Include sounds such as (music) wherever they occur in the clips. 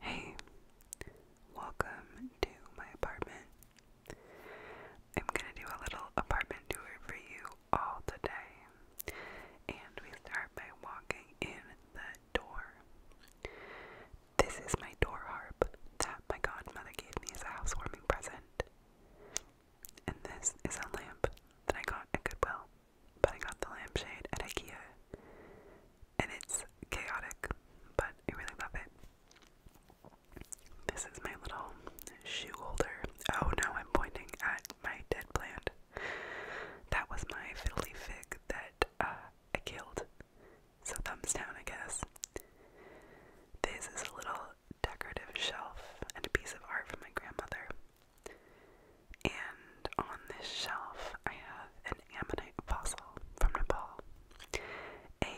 Hey, welcome to my apartment. I'm gonna do a little apartment tour for you all today. And we start by walking in the door. This is my door harp that my godmother gave me as a housewarming present. And this is a lamp that I got at Goodwill, but I got the lampshade at IKEA and it's chaotic, but I really love it. This is my little shoe holder. Oh no, I'm pointing at my dead plant. That was my fiddly fig that uh, I killed. So, thumbs down, I guess. This is a little decorative shelf and a piece of art from my grandmother. And on this shelf, I have ammonite fossil from Nepal. A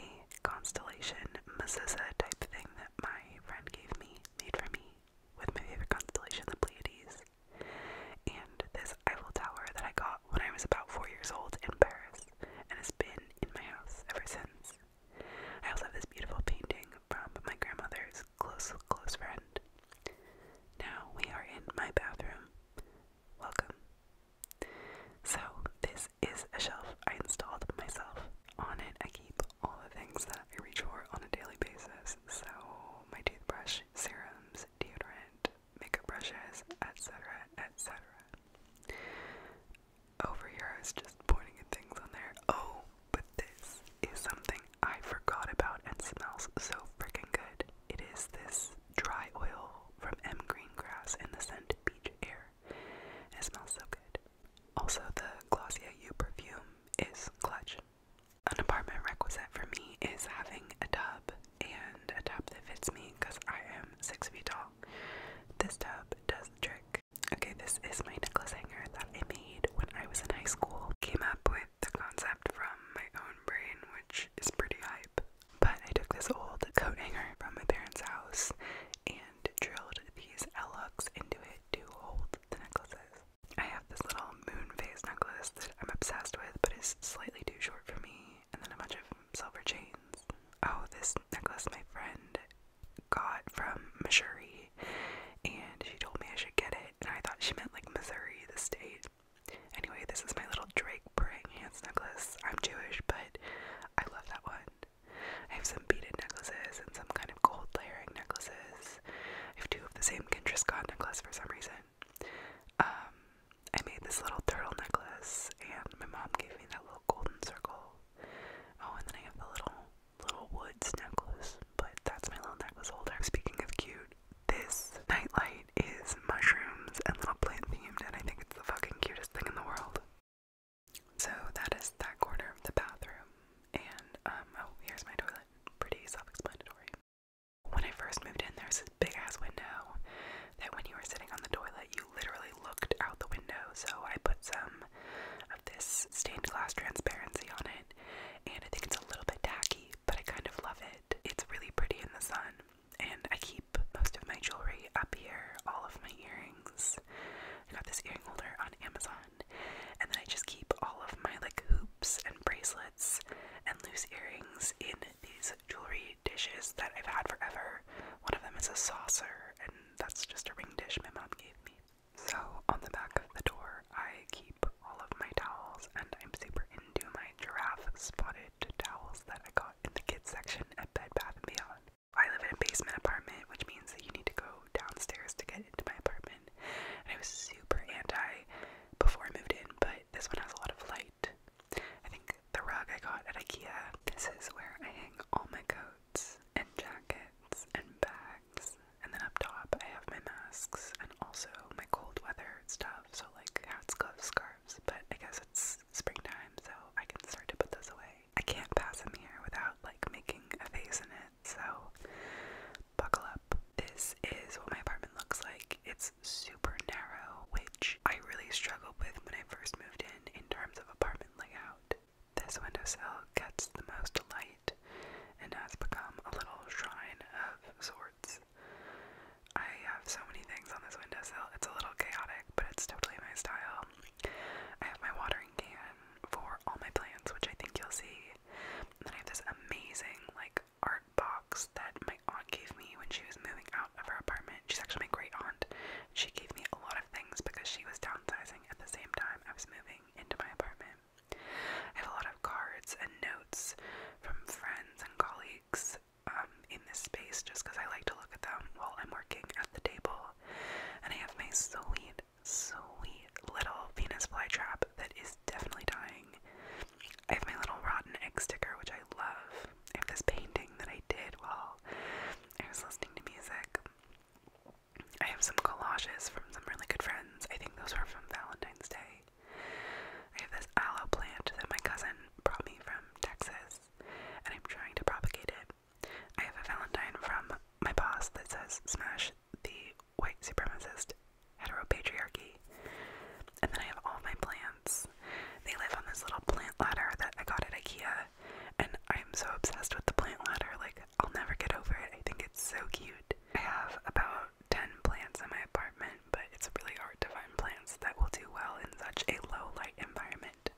constellation mezuzah type thing that my friend gave me, made for me, with my favorite constellation, the Pleiades. And this Eiffel Tower that I got when I was about four years old in Paris and has been in my house ever since. I also have this beautiful painting from my grandmother's close, close friend. Now we are in my bathroom welcome. So, this is a shelf I installed myself. On it, I keep all the things that I reach for on a daily basis. So, my toothbrush, serums, deodorant, makeup brushes, etc., etc. Over here, I was just pointing at things on there. Oh, but this is something I forgot about and smells so freaking good. It is this dry oil from M Green Grass and the scent Beach Air. It smells so good. Also, the Glossier You perfume is clutch. An apartment requisite for me is having a tub and a tub that fits me because I am six feet tall. This tub does the trick. Okay, this is my necklace hanger that I made when I was in high school. Came up with the concept from my own brain, which is pretty hype. But I took this old coat hanger from my parents' house and drilled these L-hooks into it to hold the necklaces. I have this little moon phase necklace that I'm obsessed with, but is slightly too short for me, and then a bunch of silver chains. Oh, this necklace my friend got from Missouri, and she told me I should get it, and I thought she meant like Missouri, the state. Anyway, this is my little Drake praying hands necklace. I'm Jewish, but I love that one. I have some beaded necklaces and some kind of gold layering necklaces. I have two of the same Kendra Scott necklace for some reason. Um, I made this little turtle necklace, and my mom gave me that little golden circle. Oh, and then I have the little little woods necklace, but that's my little necklace holder. Speaking of cute, this nightlight is mushrooms and little plant themed, and I think it's the fucking cutest thing in the world. So that is that corner of the bathroom, and um, oh, here's my toilet. Pretty self-explanatory. When I first moved in, there's this big ass window that when you were sitting on the toilet, you literally looked out the window. So I put some of this stained glass transparency on it, and I think it's a little bit tacky, but I kind of love it. It's really pretty in the sun and I keep most of my jewelry up here, all of my earrings. I got this earring holder on Amazon, and then I just keep all of my like hoops and bracelets and loose earrings in these jewelry dishes that I've had forever. One of them is a saucer, and that's just a ring dish my mom gave me. So, on the back of the door, I keep all of my towels, and I'm super into my giraffe spotted towels that I got in the kids section at Bed Bath & Beyond. I live in a basement apartment, which means that you need to go downstairs to get into my apartment. And I was super anti before I moved in, but this one has a lot of light. I think the rug I got at IKEA. This is where I hang all my coats and jackets and bags. And then up top, I have my masks and also my cold weather stuff so like hats, gloves, scarves, but I guess it's springtime, so I can start to put those away. I can't pass him here without like making a face in it, so buckle up. This is what my apartment looks like. It's super narrow, which I really struggled with when I first moved in in terms of apartment layout. This window sill gets the most light and has become a little shrine of sorts. I have so many things on this windowsill. It's a little chaotic, but it's totally my style. I have my watering can for all my plants, which I think you'll see. then I have this amazing, like, art box that my aunt gave me when she was moving out of her apartment. She's actually my great aunt. She gave me a lot of things because she was downsizing at the same time I was moving into my apartment. I have a lot of cards and notes from friends and colleagues um, in this space just because I like to look at them while I'm working at the table. And I have my sweet, sweet little Venus flytrap that is definitely dying. I have my little rotten egg sticker, which I love. I have this painting that I did while I was listening to music. I have some collages from some really good friends. I think those were from Valentine's Day. I have this aloe plant that my cousin brought me from Texas, and I'm trying to propagate it. I have a Valentine from my boss that says, Smash the white supremacist heteropatriarchy. And then I have all my plants. They live on this little plant ladder that I got at IKEA, and I'm so obsessed with the plant ladder. Like, I'll never get over it. I think it's so cute. I have about 10 plants in my apartment, but it's really hard to find plants that will do well in such a low light environment.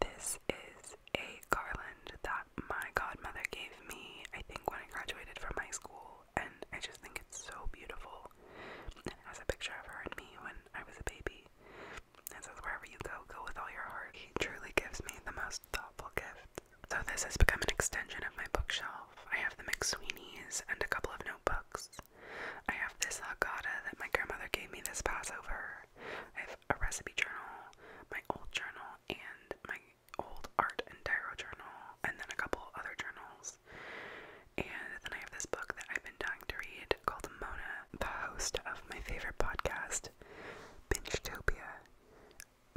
This is a garland that my godmother gave me, I think, when I graduated from high school, and I just think it's so beautiful. It has a picture of her and me when I was a baby. It says, Wherever you go, go with all your heart. He truly gives me the most thoughtful gift. So, this has become an extension of my bookshelf. I have the McSweeney's and a couple of notebooks. I have this hakata that my grandmother gave me this Passover. I have a recipe journal, my old journal, and my old art and tarot journal, and then a couple other journals. And then I have this book that I've been dying to read called Mona, the host of my favorite podcast, Binge Bingetopia.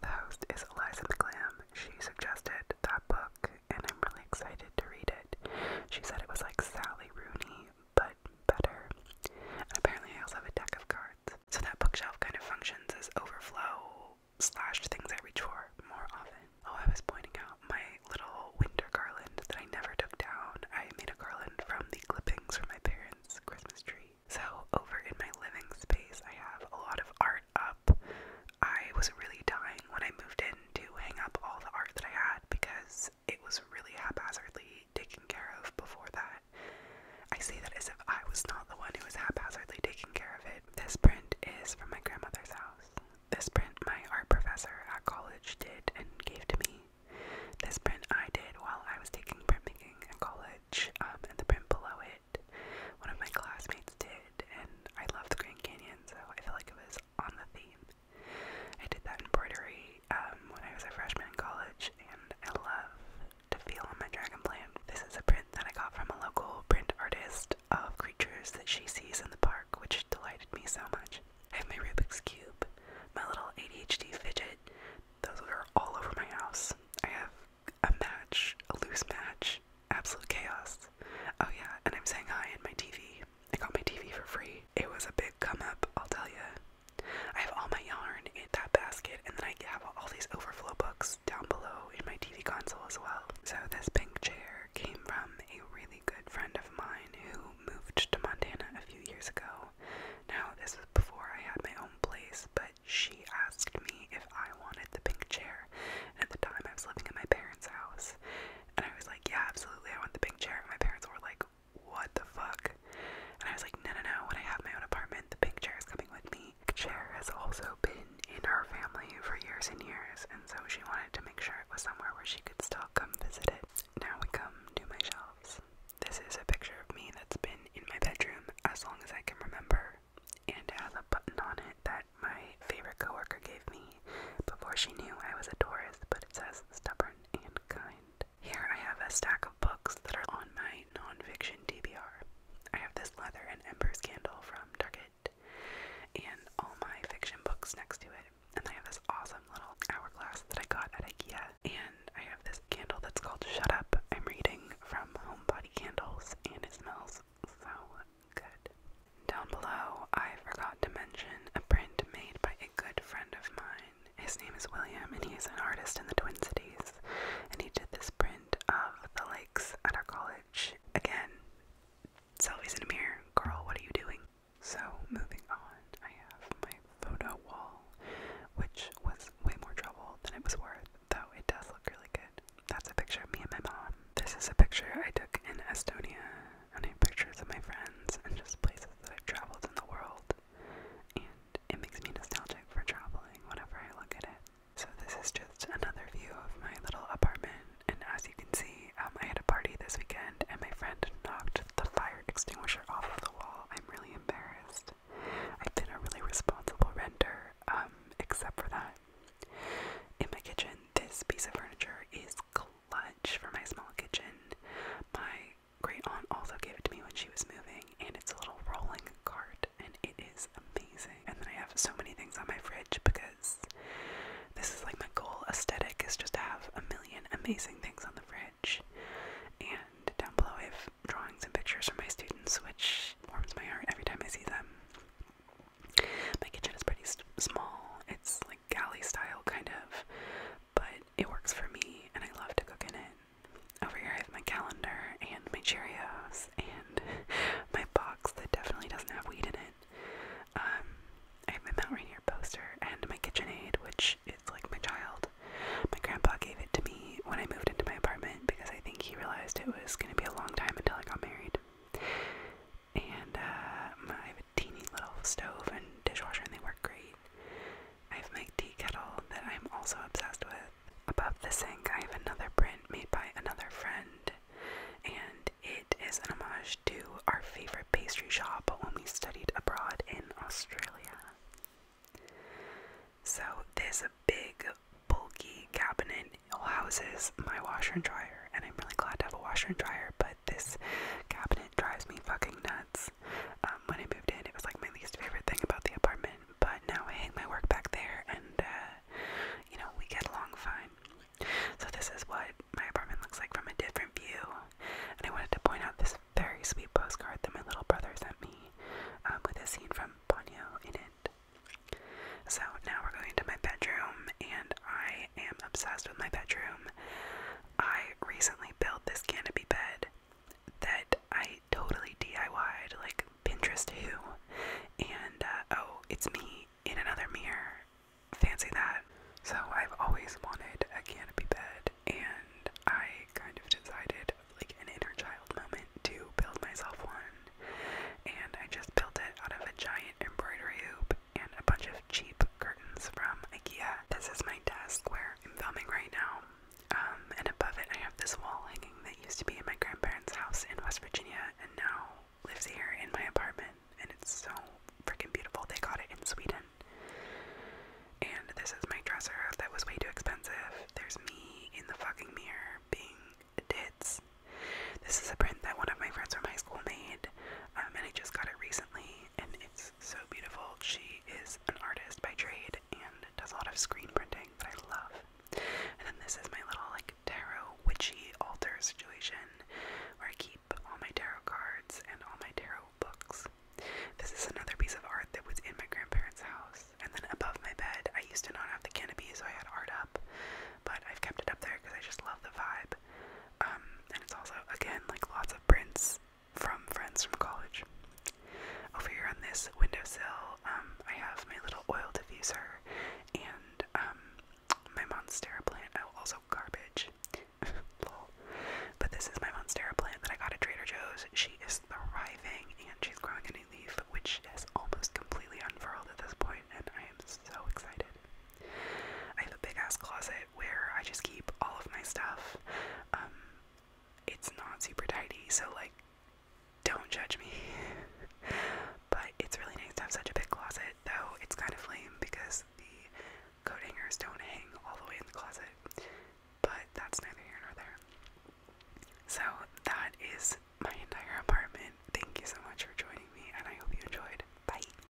The host is Eliza McClam. She suggested that book and I'm really excited to read it. She said it was like Sally Rooney, but better. And apparently, I also have a deck of cards. So that bookshelf kind of functions as overflow slash things I reach for more often. Oh, I was pointing out my little winter garland that I never took down. I made a garland from the clippings from my parents' Christmas tree. So, over in my living space, I have a lot of art up. I was really dying when I moved in to hang up all the art that I had because it was really haphazardly taken care of before that. I say that as if I was not the one who was haphazardly taking care of it. This print is from my grandmother's house. This print my art professor at college did and gave to me. This print I did while I was taking printmaking at college, um, and the print below it, one of my classmates did, and I love the Grand Canyon, so I feel like it was on the theme. I did that embroidery um, when I was a freshman in college, and I love to feel on my dragon plant. This is a print that I got from a local print artist of creatures that she sees in the park, which delighted me so much. I have my Rubik's Cube, my little ADHD fidget, those are all over my house. I have a match, a loose match, absolute chaos. Oh, yeah, and I'm saying hi in my TV. I got my TV for free. It was a big come up, I'll tell you. I have all my yarn in that basket, and then I have all these overflow books down below in my TV console as well. So, this pink chair came from a really good friend of mine who moved to Montana a few years ago. Now, this was before I had my own place, but she asked me if I wanted the pink chair. at the time, I was living in my parents' house, and I was like, yeah, absolutely, I want the big chair. my parents were like, what the fuck? And I was like, no, no, no, when I have my own apartment, the big chair is coming with me. The chair has also been in our family for years and years, and so she wanted to make sure it was somewhere where she could still come visit it. Now we come to my shelves. This is a picture of me that's been in my bedroom as long as I can remember, and it has a button on it that my favorite coworker gave me before she knew I was a Taurus, but it says stubborn and kind. Here I have a stack of books that are on my nonfiction DBR. I have this Leather and Embers candle from Target and all my fiction books next to it. And I have this awesome little hourglass that I got at IKEA. And I have this candle that's called Shut Up. I'm reading from Homebody Candles and it smells so Good. Down below, I forgot to mention a print made by a good friend of mine. His name is William, and he is an artist in the Twin Cities. And he did this print of the lakes at our college. Again, selfies in a mirror. Girl, what are you doing? So, moving on, I have my photo wall, which was way more trouble than it was worth, though it does look really good. That's a picture of me and my mom. This is a picture I took in Estonia I take pictures of my friends and just places that I've traveled in the world. And it makes me nostalgic for traveling whenever I look at it. So this is just another view of my little apartment. And as you can see, um, I had a party this weekend and my friend knocked the fire extinguisher off of the wall. I'm really embarrassed. I've been a really responsible renter, um, except for that. In my kitchen, this piece of furniture is clean lunch for my small kitchen. My great aunt also gave it to me when she was moving, and it's a little rolling cart, and it is amazing. And then I have so many things on my fridge because this is like my goal aesthetic is just to have a million amazing things on the fridge. And down below, I have drawings and pictures from my students, which warms my heart every time I see them. My kitchen is pretty small, it's like galley style kind of, but it works for me and I love to cook in it. Over here I have my calendar and my Cheerios and (laughs) my box that definitely doesn't have weed in it. Um, I have my Mount Rainier poster and my KitchenAid, which is like my child. My grandpa gave it to me when I moved into my apartment because I think he realized it was going to be a long time until I got married and uh, I have a teeny little stove and dishwasher, and they work great. I have my tea kettle that I'm also obsessed with. Above the sink, I have another print made by another friend, and it is an homage to our favorite pastry shop when we studied abroad in Australia. So, this big, bulky cabinet houses my washer and dryer, and I'm really glad to have a washer and dryer, but this cabinet drives me fucking nuts. Um, when I moved in, it was like my least favorite thing about the apartment, but now I hang my work back there and, uh, you know, we get along fine. So, this is what my apartment looks like from a different view. And I wanted to point out this very sweet postcard that my little brother sent me um, with a scene from Ponyo in it. So, now we're going to my bedroom, and I am obsessed with my bedroom. I recently built this canopy bed that I totally DIYed, like Pinterest who, and uh, oh, it's me in another mirror. Fancy that. So I've always wanted a canopy bed, and I kind of decided, like an inner child moment, to build myself one. And I just built it out of a giant embroidery hoop and a bunch of cheap curtains from IKEA. This is my desk where I'm filming right now. Um, and above it, I have this wall hanging that used to be in my grandparents' house in West Virginia and now lives here in my apartment. And it's so freaking beautiful. They got it in Sweden. And this is my dresser that was way too expensive. There's me in the fucking mirror being tits. This is a print that one of my friends from high school made, um, and I just got it recently and it's so beautiful. She is an artist by trade and does a lot of screen printing that I love. And then this is my little like tarot witchy altar situation where I keep all my tarot cards and all my tarot books. This is another piece of art that was in my grandparents' house. And then above my bed, I used to not have the canopy, so I had art up, but I've kept it up there because I just love the vibe. Um, and it's also, again, like lots of prints from friends from college. Over here on this windowsill, um, I have my little oil diffuser and um, my Monstera plant. Oh, also garbage. (laughs) But this is my Monstera plant that I got at Trader Joe's. She is thriving and she's growing a new leaf, which is almost completely unfurled at this point, and I am so excited. I have a big ass closet where I just keep all of my stuff. Um, it's not super tidy, so like, don't judge me. (laughs) but it's really nice to have such a big closet, though it's kind of lame because the coat hangers don't hang all the way in the closet. But that's neither here nor there. So that is my entire apartment. Thank you so much for joining me, and I hope you enjoyed. Bye.